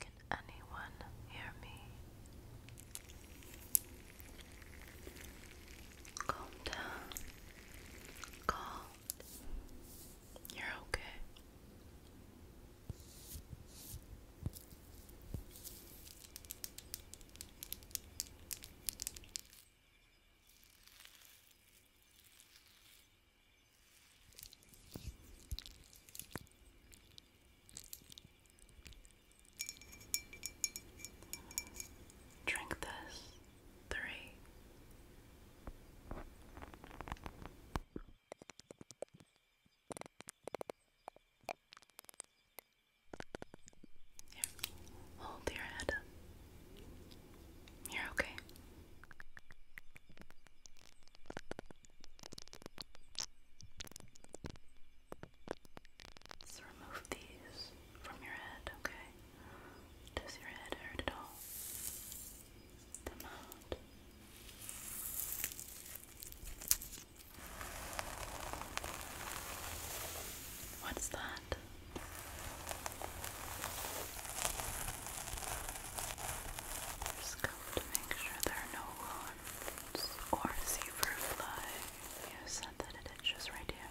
Can anyone hear me? Calm down. Calm. You're okay. Drink this. Three. Hold your head You're okay. Let's remove these from your head, okay? Does your head hurt at all? What's that? that. Just come to make sure there are no worms or zebra fly. You said that it itches right here.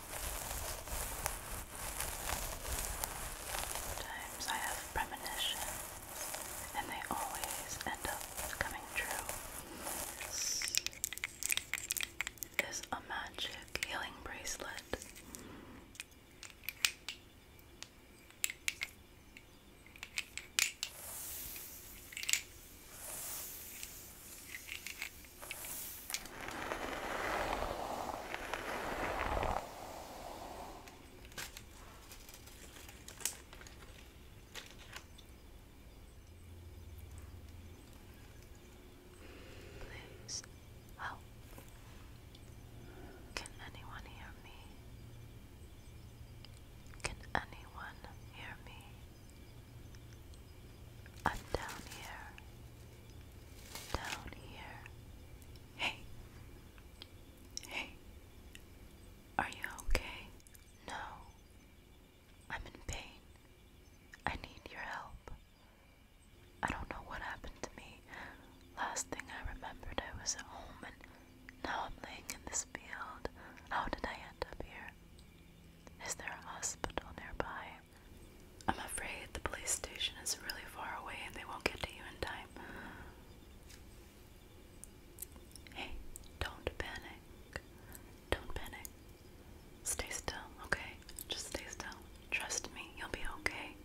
Sometimes I have premonitions, and they always end up coming true. This is a magic healing bracelet. Please help. Can anyone hear me? Can anyone hear me? I'm down here down here. Hey, hey, are you okay? No, I'm in pain. I need your help. I don't know what happened to me. Last thing I remembered, I was at home and now I'm laying in this field. How did I end up here? Is there a hospital nearby? I'm afraid the police station is really far away and they won't get to you in time. Hey, don't panic. Don't panic. Stay still, okay? Just stay still. Trust me, you'll be okay.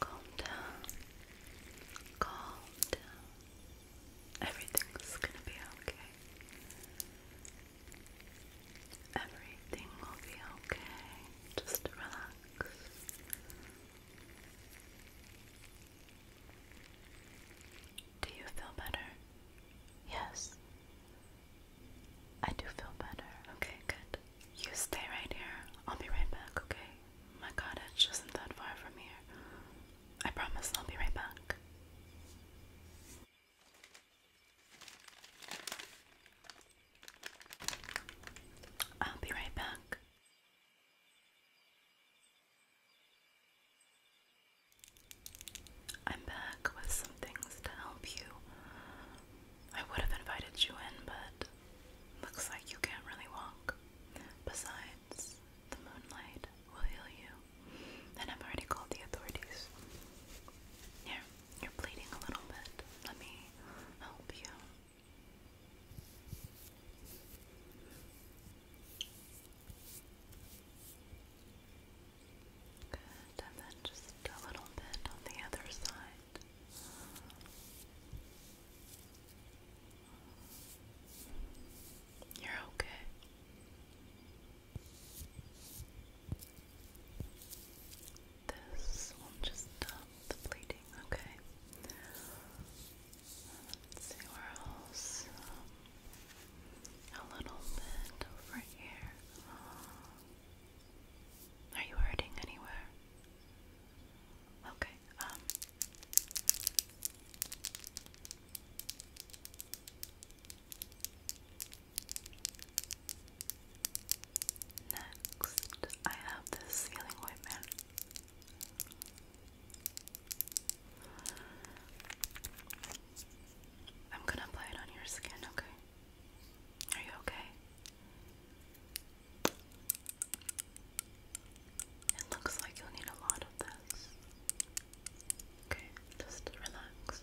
Calm down. Calm down. Everything's gonna be okay. Everything will be okay. Just relax. Do you feel better? Yes. I do feel better. Okay, good. You stay right here. I'll be right back, okay? My cottage isn't that far from here. I promise I'll be right back. I'll be right back. I'm back with some things to help you. I would have invited you in, but looks like you can't really walk. Besides, the moonlight will heal you. And I've already called the authorities. Here, you're bleeding a little bit. Let me help you. Good, and then just a little bit on the other side. You're okay. This will just stop the bleeding, okay? Let's see where else. a little bit over here. Are you hurting anywhere? Okay, um. Next, I have this sealing ointment. I'm gonna apply it on your skin, okay? Are you okay? It looks like you'll need a lot of this. Okay, just relax.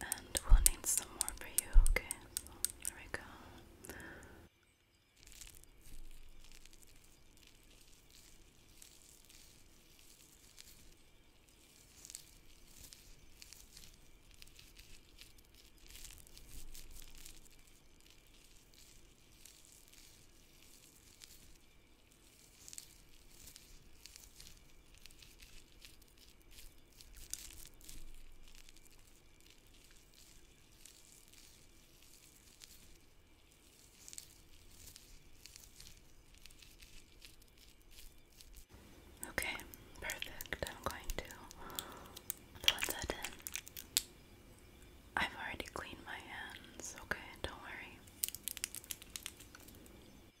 And we'll need some more for you, okay? here we go. Okay, perfect. I'm going to blend that in. I've already cleaned my hands, okay? Don't worry.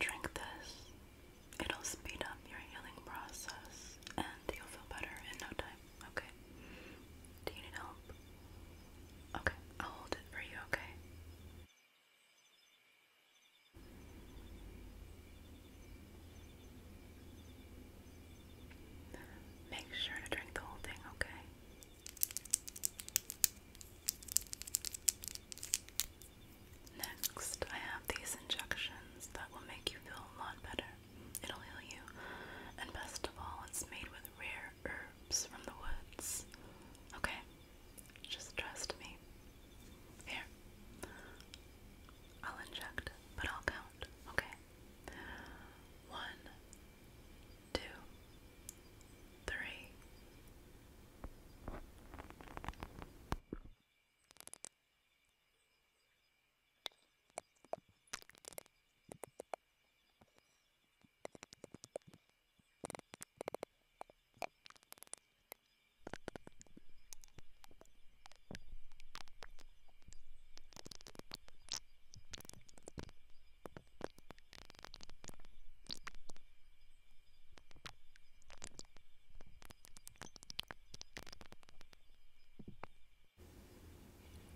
Drink this. It'll speed up your healing process and you'll feel better in no time, okay? Do you need help? Okay, I'll hold it for you, okay? Make sure to drink the whole thing, okay? Next, I have these injections that will make you feel a lot better. It'll heal you. And best of all, it's made with rare herbs from the woods. Okay, just trust me. Here, I'll inject, but I'll count. Okay, one, two, three.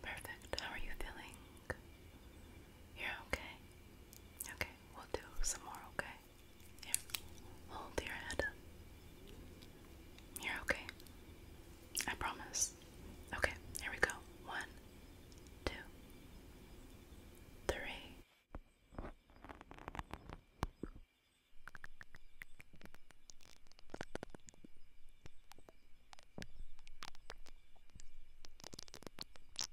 Perfect. How are you feeling? You're okay. Okay, we'll do some more, okay? Here, hold your head You're okay. I promise. Okay, here we go. One, two, three.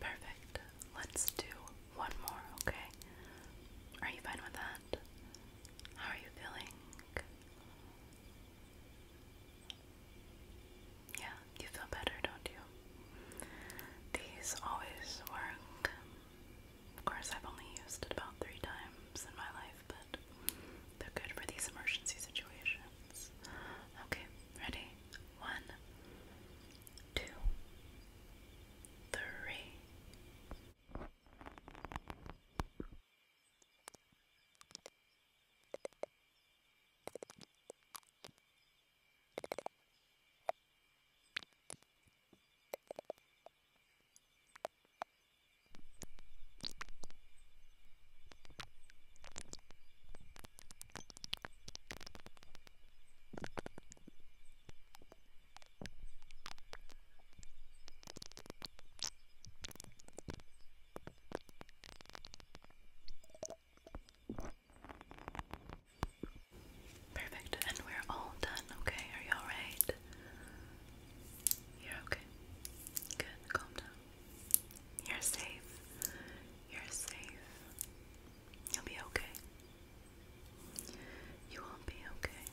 Perfect. Let's do one more, okay? Are you fine with that? How are you feeling? Yeah, you feel better, don't you? These always work. Of course, I've only used it about three times in my life, but they're good for these emergency situations. Okay, ready? One, two, three. Perfect, and we're all done, okay? Are you alright? You're okay. Good. Calm down. You're safe. You're safe. You'll be okay. You will be okay.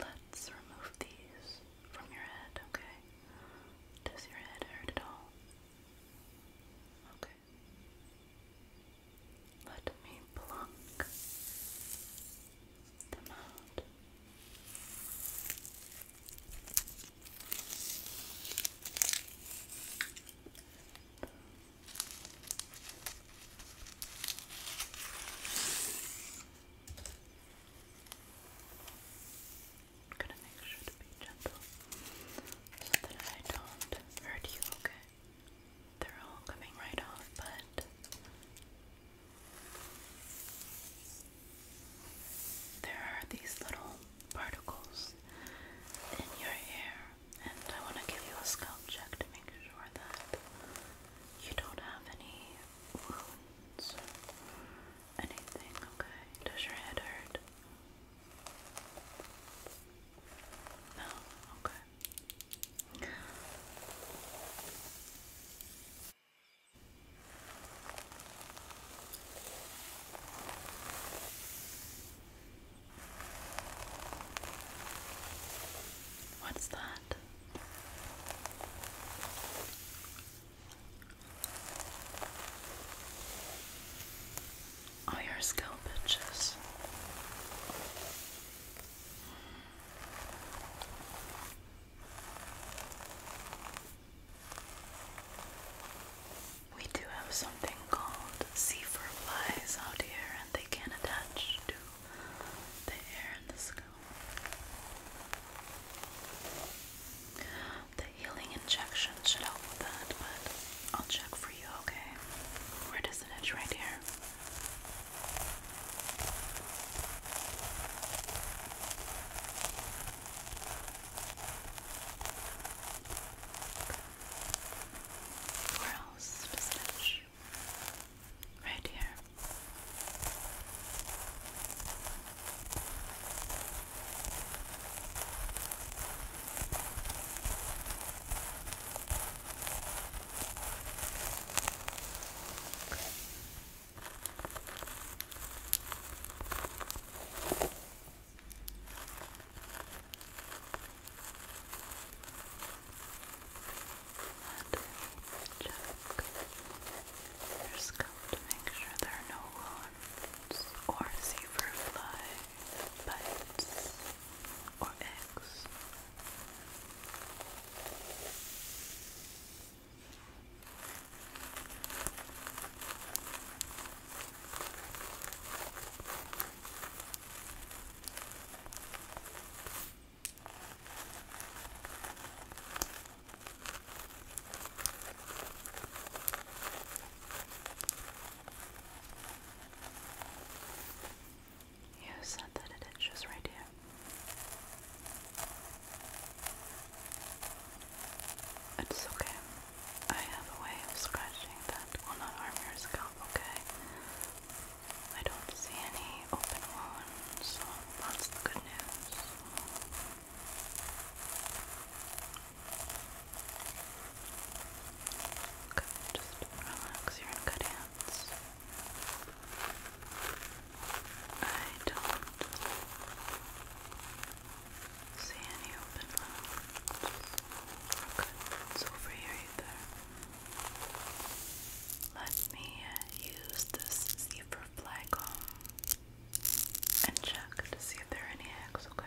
Let's remove these from your head, okay? Does your head hurt at all? Okay. Let me pluck them out. gonna make sure to be gentle so that I don't hurt you, okay? they're all coming right off, but there are these little particles in your hair, and I want to give you a scalp check to make sure that you don't have any wounds anything, okay? Does your head hurt? No? Okay. What's that? all oh, your scalp itches. We do have something called zephyr flies out here, and they can attach to the air and the scalp. The healing injection should help with that, but I'll check for you, okay? Where does it itch? Right here. Where else does it itch? Right here your scalp to make sure there are no wounds or zebra fly bites or eggs. You said that it itches right here. It's okay. I have a way of scratching that will not harm your scalp, okay? I don't see any open wounds, that's good news. Okay, just relax your good hands. I don't see any open wounds. Okay, it's over here either. Let me use this zebra fly comb and check to see if there are any eggs, okay?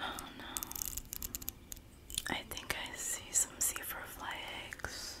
Oh no. I think I see some sea fly eggs.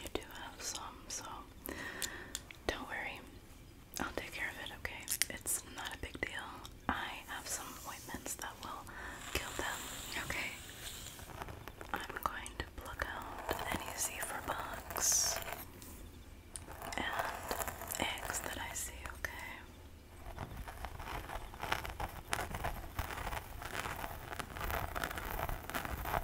You do have some, so don't worry. I'll take care of it, okay? It's not a big deal. I have some appointments that will kill them, okay? I'm going to pluck out any zebra bugs and eggs that I see, Okay.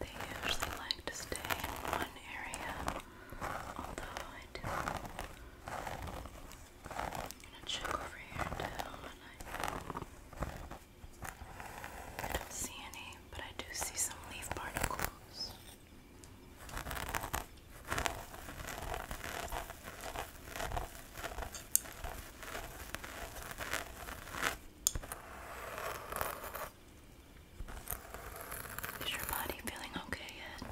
They usually like to stay in one area, although I do. I'm gonna check over here too, and I, don't see any, but I do see some leaf particles. Is your body feeling okay yet?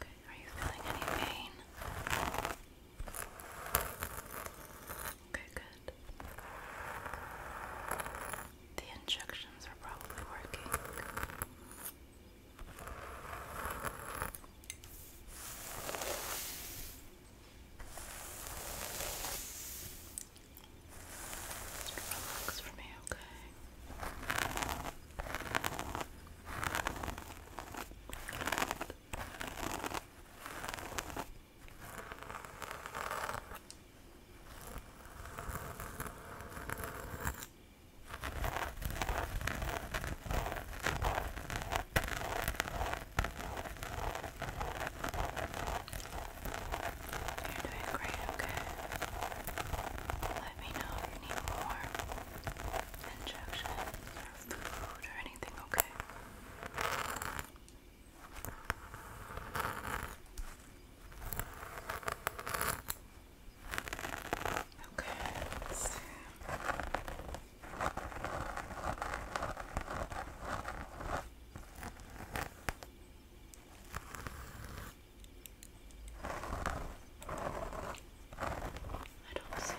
Okay, are you feeling any pain? Okay, good. The injections are probably working. Relax for me, okay? You're doing great, okay? Let me know if you need more injections or food or anything, okay? Okay. Okay, I don't see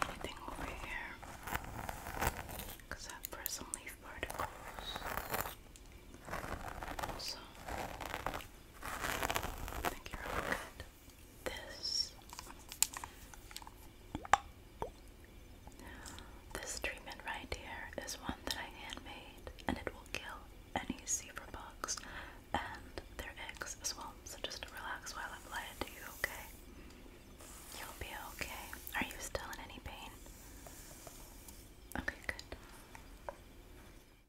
anything over here because I've pressed some leaf particles. I you This this treatment right here is one that I handmade, and it will kill any zebra bugs and their eggs as well. So just relax while I apply it to you, okay? You'll be okay. Are you still in any pain? Okay, good.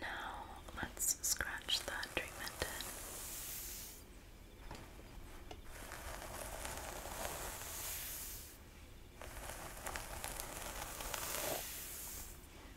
Now let's scratch that dream in.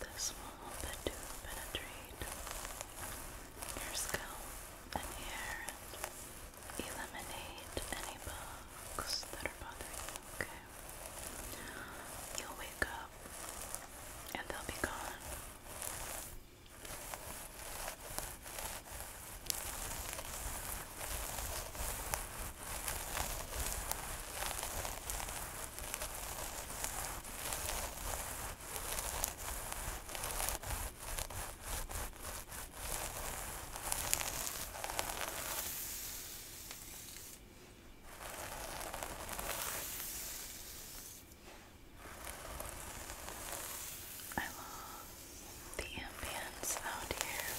This will help it to penetrate your scalp and hair eliminate any bugs that are bothering you, You'll wake up and they'll be gone. I love the ambience out here.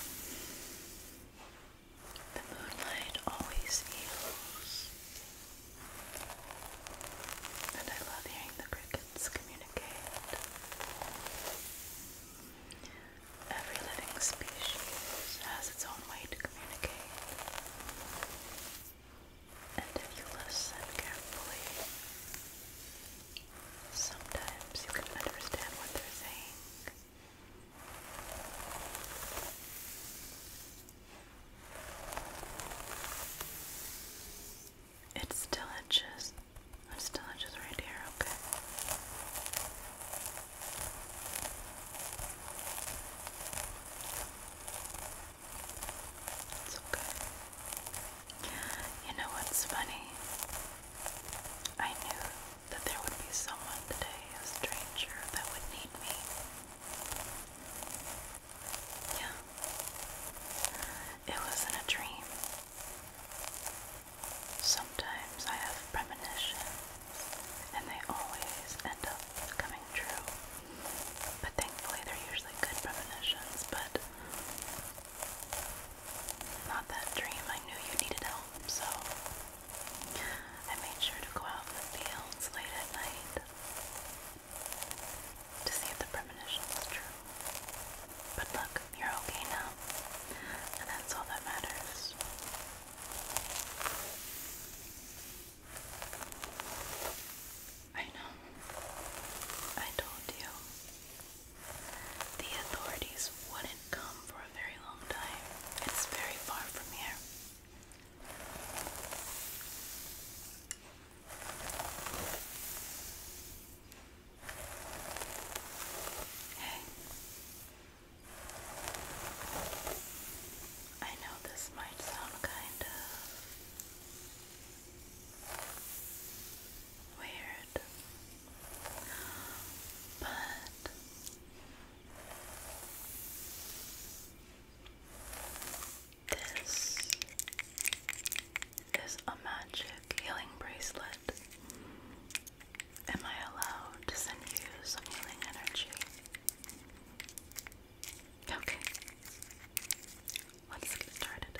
The moonlight always heals. And I love hearing the crickets communicate. Every living species has its own way to communicate. And if you listen carefully, sometimes you can understand what they're saying. It's still inches. Oh, it's still inches right here, okay. It's okay. You know what's funny? I knew that there would be someone today, a stranger, that would need me. Yeah. It wasn't a dream. Sometimes I have premonitions, and they always end up coming true. But thankfully, they're usually good premonitions, but not that dream. I knew you needed help, so I made sure to go out in the fields late at night to see if the premonition was true. But look, you're okay now, and that's all that matters. I know. I told you. The authorities wouldn't come for a very long time. It's very far from here. Hey, I know this might sound kind of weird, but this is a magic healing bracelet. Am I allowed to send you some healing energy? Okay. Let's get started.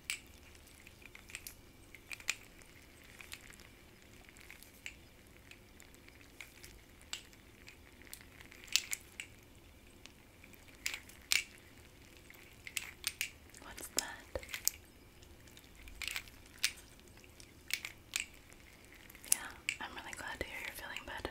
What's that? Yeah, I'm really glad to hear you're feeling better.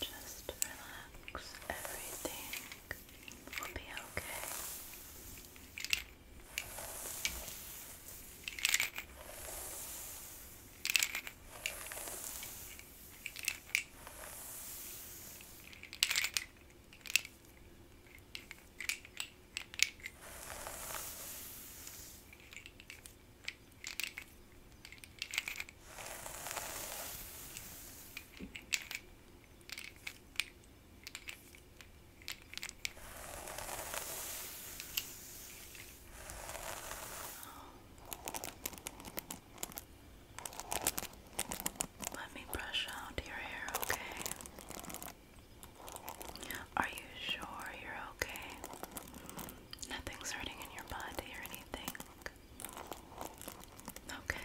Just relax, everything will be okay. Let me brush out your hair, okay? Are you sure you're okay? Nothing's hurting in your body or anything. Okay.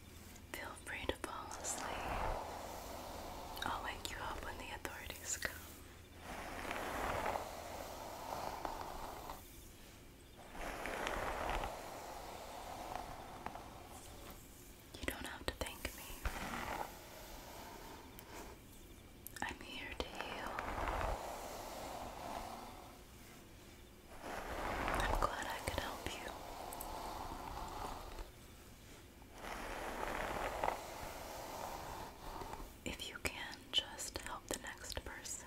Feel free to fall asleep. I'll wake you up when the authorities come. You don't have to thank me. I'm here to heal. I'm glad I could help you. If you can, just help the next person.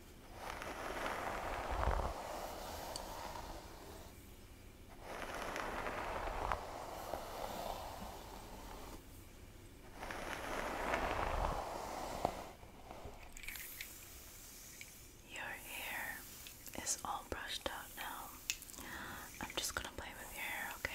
Your hair is all brushed out now. I'm just going to play with your hair, okay?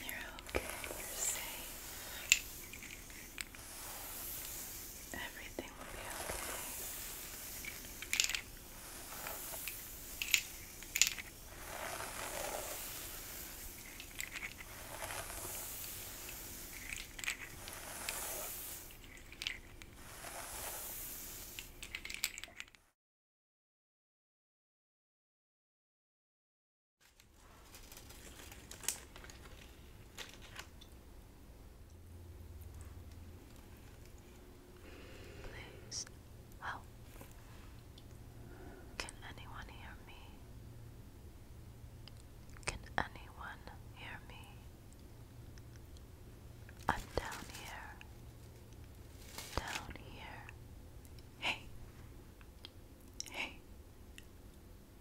You're okay, you're safe. Everything will be okay. Place well, can anyone hear me? Can anyone hear me? I'm down here. Down here. Hey. Hey.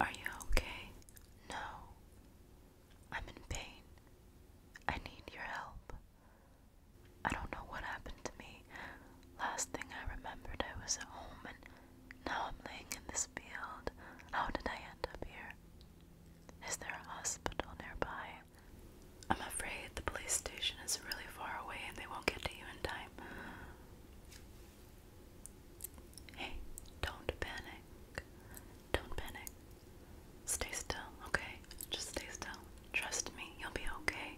Are you okay? No. I'm in pain. I need your help. I don't know what happened to me. Last thing I remembered, I was at home, and now I'm laying in this field. How did I end up here? Is there a hospital nearby? I'm afraid the police station is really far away and they won't get to you in time. Hey, don't panic. Don't panic. Stay still, okay? Just stay still. Trust me, you'll be okay.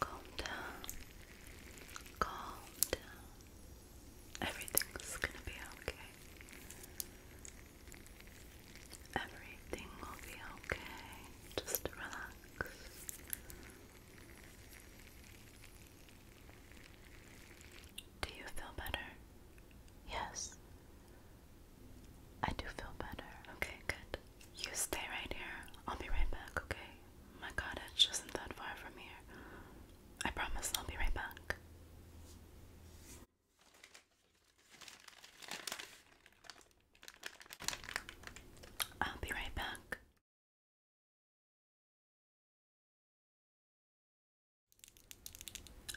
Calm down. Calm down. Everything's gonna be okay. Everything will be okay. Just relax. Do you feel better? Yes. I do feel better. Okay, good. You stay right here. I'll be right back, okay? My cottage isn't that far from here. I promise I'll be right back. I'll be right back.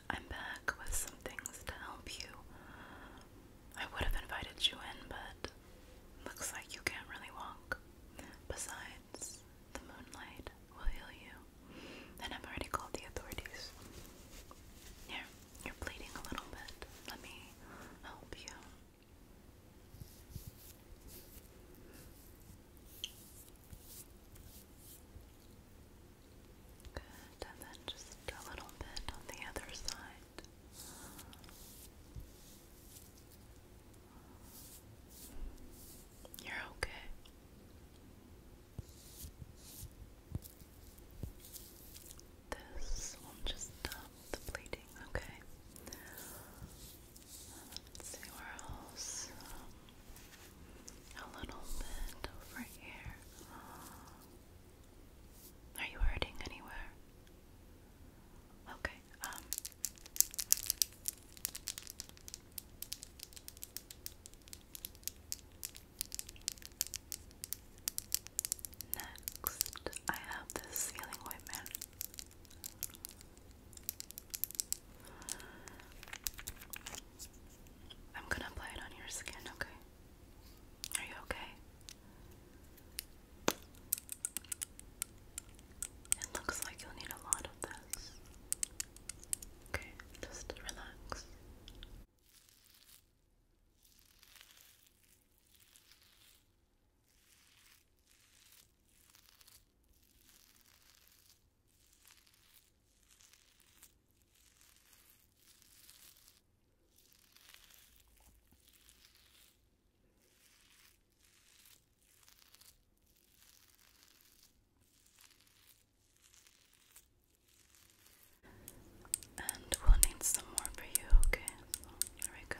I'm back with some things to help you. I would have invited you in, but looks like you can't really walk. Besides, the moonlight will heal you. And I've already called the authorities. Here, you're bleeding a little bit. Let me help you. Good, and then just a little bit on the other side. You're okay. This will just stop the bleeding, okay? Let's see where else. a little bit over here. Are you hurting anywhere? Okay, um. Next, I have this sealing ointment. I'm gonna apply it on your skin, okay? Are you okay? It looks like you'll need a lot of this. Okay, just relax. And we'll need some more for you, okay? here we go.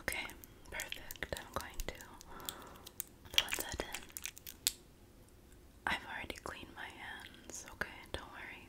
Okay, perfect. I'm going to put that in. I've already cleaned my hands, okay? Don't worry.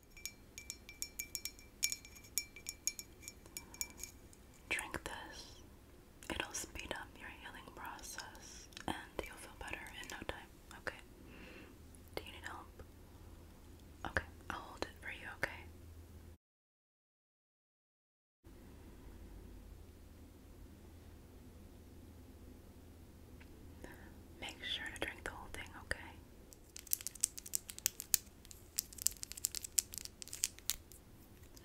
Drink this. It'll speed up your healing process and you'll feel better in no time, okay? Do you need help? Okay, I'll hold it for you, okay? Make sure to drink the whole thing, okay?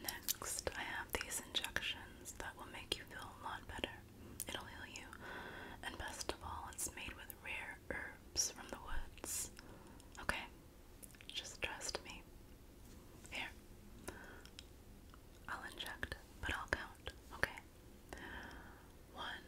Next, I have these injections that will make you feel a lot better. It'll heal you. And best of all, it's made with rare herbs from the woods. Okay? Just trust me. Here. I'll inject, but I'll count, okay? One,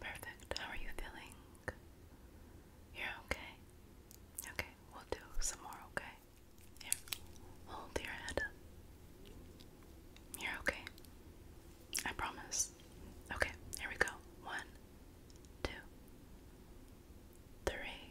Perfect. How are you feeling? You're okay. Okay, we'll do some more, okay? Here, hold your head You're okay. I promise. Okay, here we go. One, two, three.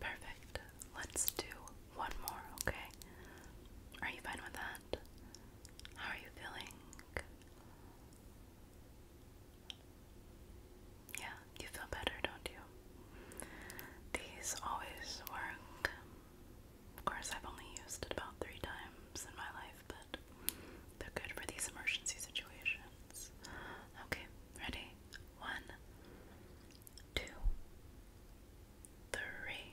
Perfect. Let's do one more, okay? Are you fine with that? How are you feeling? Yeah, you feel better, don't you? These always work. Of course, I've only used it about three times in my life, but they're good for these emergency situations. Okay, ready? One, two, three.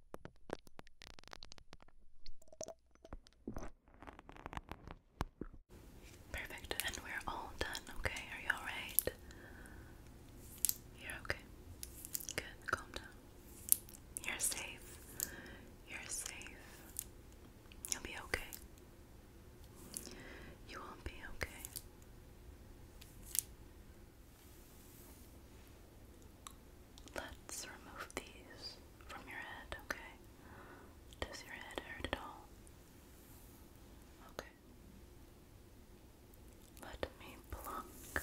Perfect, and we're all done, okay? Are you alright? You're okay. Good, calm down. You're safe. You're safe. You'll be okay. You will be okay. Let's remove these from your head, okay? Does your head hurt at all? Okay. Let me pluck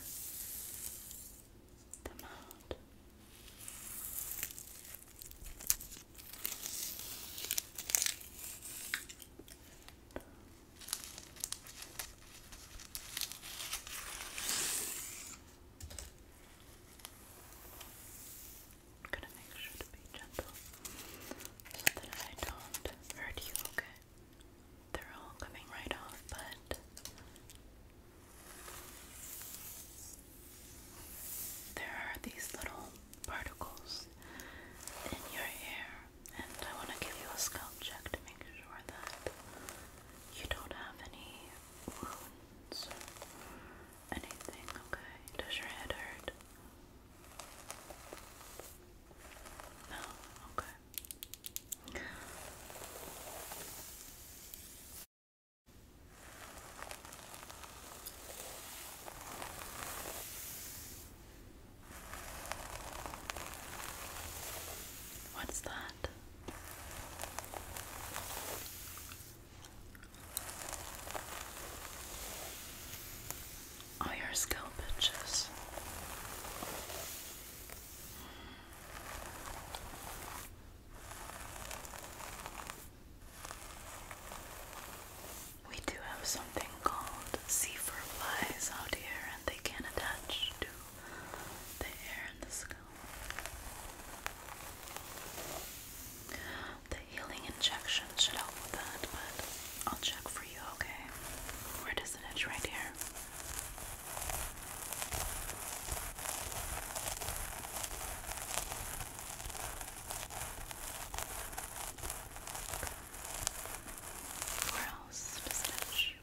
them out. I'm gonna make sure to be gentle so that I don't hurt you, okay? They're all coming right off, but there are these little particles in your hair and I want to give you a scalp check to make sure that you don't have any wounds or anything, okay? Does your head hurt? No? Okay. What's that? Oh, your scalp We do have something called sea fur flies out here, and they can attach to the air in the skull. The healing injection should help with that, but I'll check for you, okay? Where does it itch? Right here. Where else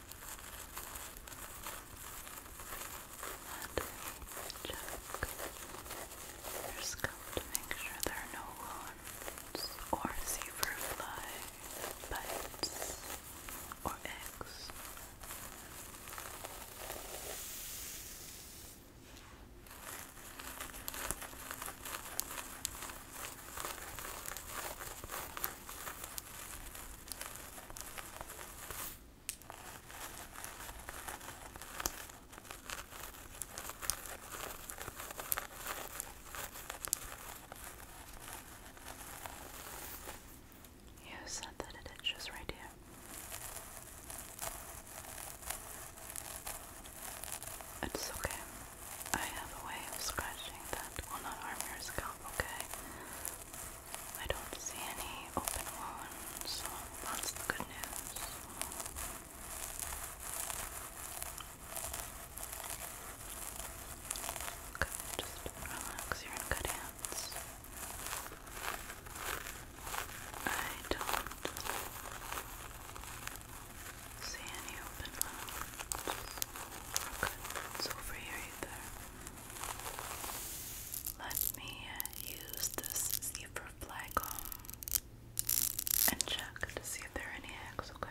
And check your to make sure there are no wounds or zebra fly bites or eggs. You said that it itches right here. It's okay. I have a way of scratching that will not harm your scalp, okay? I don't see any open ones, so that's the good news. Okay, just relax, you're in good hands. I don't see any open ones. it's over here either. Let me uh, use this zebra fly and check to see if there any eggs, Okay.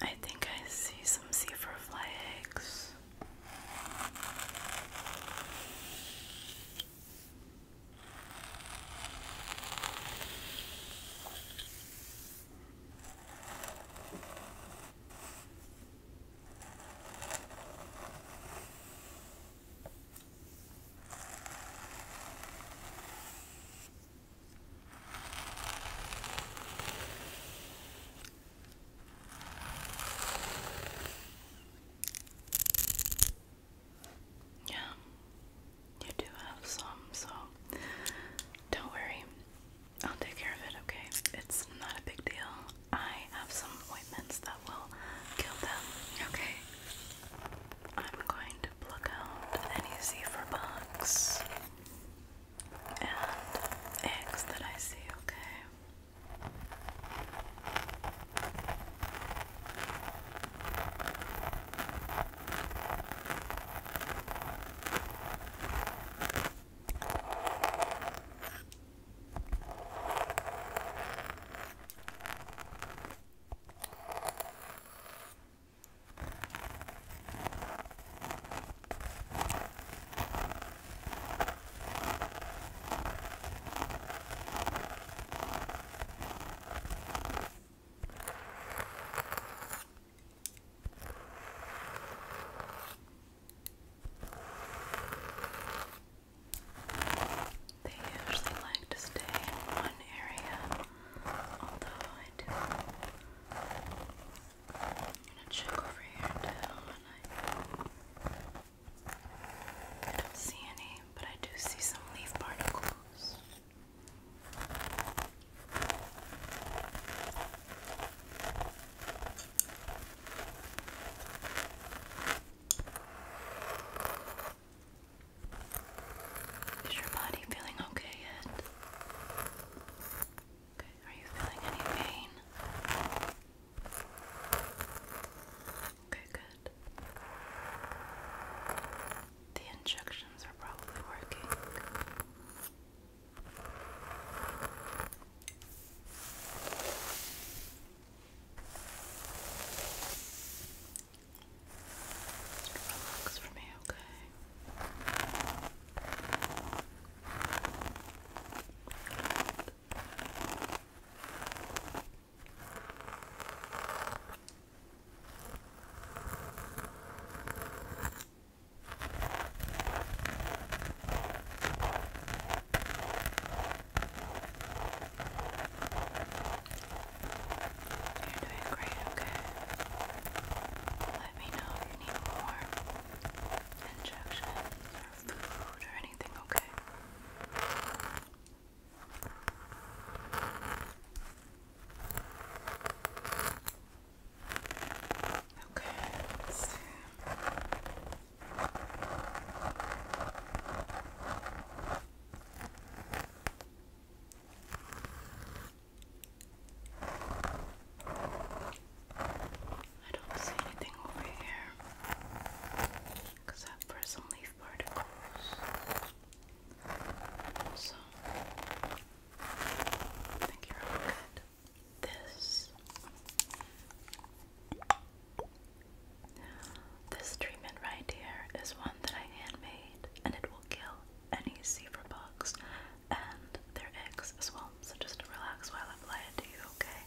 I think I see some zebra fly eggs. Yeah, you do have some, so don't worry. I'll take care of it, okay? It's not a big deal. I have some ointments that will kill them, okay? I'm going to pluck out any Z for bugs and eggs that I see, okay? They usually like to stay in one area, although I do I'm gonna check over here too, I don't see any, but I do see some leaf particles. Is your body feeling okay yet? are you feeling any pain? Okay, good. The injections are probably working. Relax for me, okay? You're doing great, okay? let me know if you need more injections or food or anything, okay? Okay, I don't see anything over here except for some leaf particles. So, I think you're all good. This, this treatment right here is one that I handmade, and it will kill any zebra bugs and their eggs as well. So just relax while I apply it to you, okay?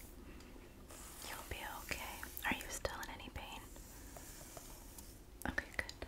You'll be okay. Are you still in any pain? Okay, good.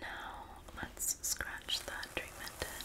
Now let's scratch that treatment in.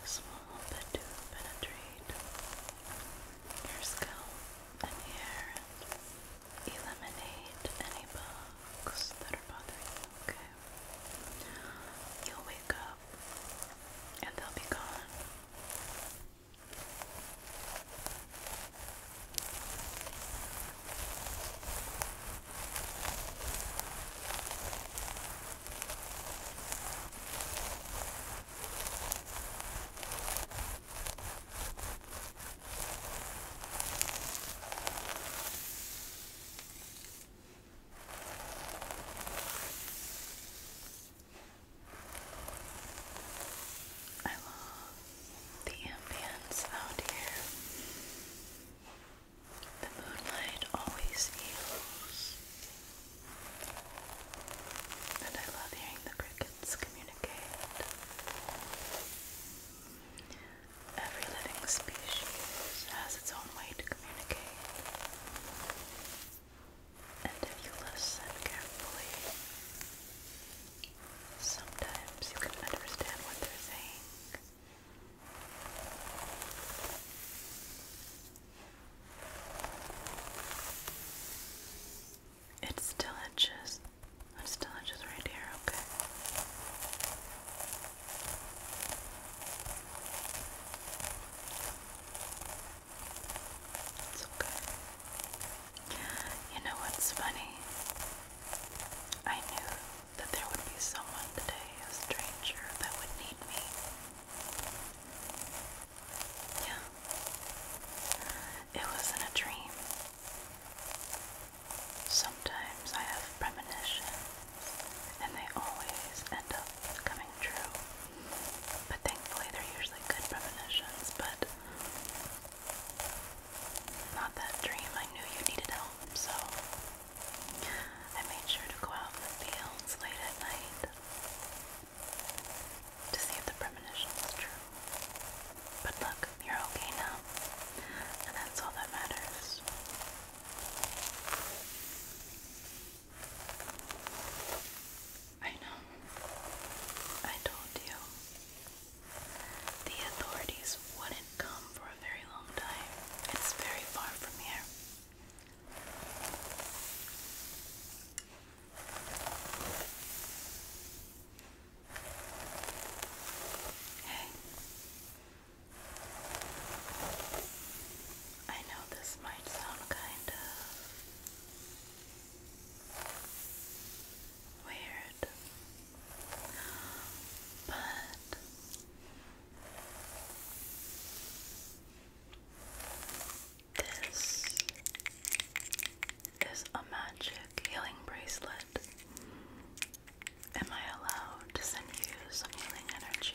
This will help to penetrate your scalp and hair eliminate any bugs that are bothering you, You'll wake up and they'll be gone. I love the ambience out here. The moonlight always heals. And I love hearing the crickets communicate. Every living species has its own way to communicate. And if you listen carefully, sometimes you can understand what they're saying. It's still inches. It's still inches right here, okay? You know what's funny? I knew that there would be someone today, a stranger, that would need me. Yeah. It wasn't a dream. Sometimes I have premonition and they always end up coming true. But thankfully, they're usually good premonitions, but not that dream. I knew you needed help, so I made sure to go out in the fields late at night to see if the premonition was true. But look, you're okay now, and that's all that matters. I know. I told you. The authorities wouldn't come for a very long time. It's very far from here. Hey. I know this might sound kind of weird, but this is a magic healing bracelet. Am I allowed to send you some healing energy?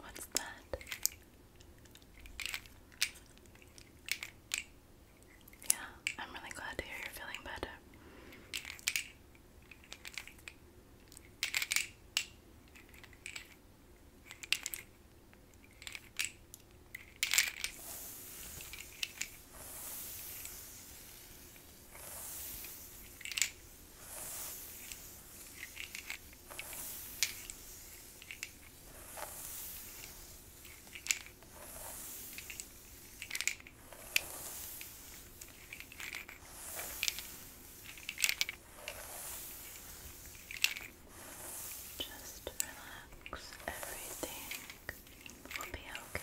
What's that? Yeah, I'm really glad to hear you're feeling better. Just relax, everything will be okay.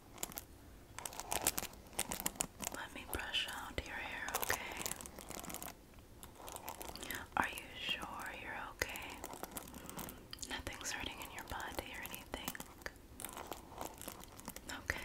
Let me brush out your hair, okay? Are you sure you're okay? Nothing's hurting in your body or anything? Okay.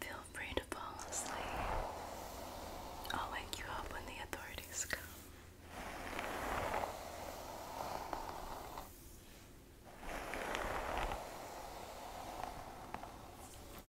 Feel free to fall asleep. I'll wake you up when the authorities come.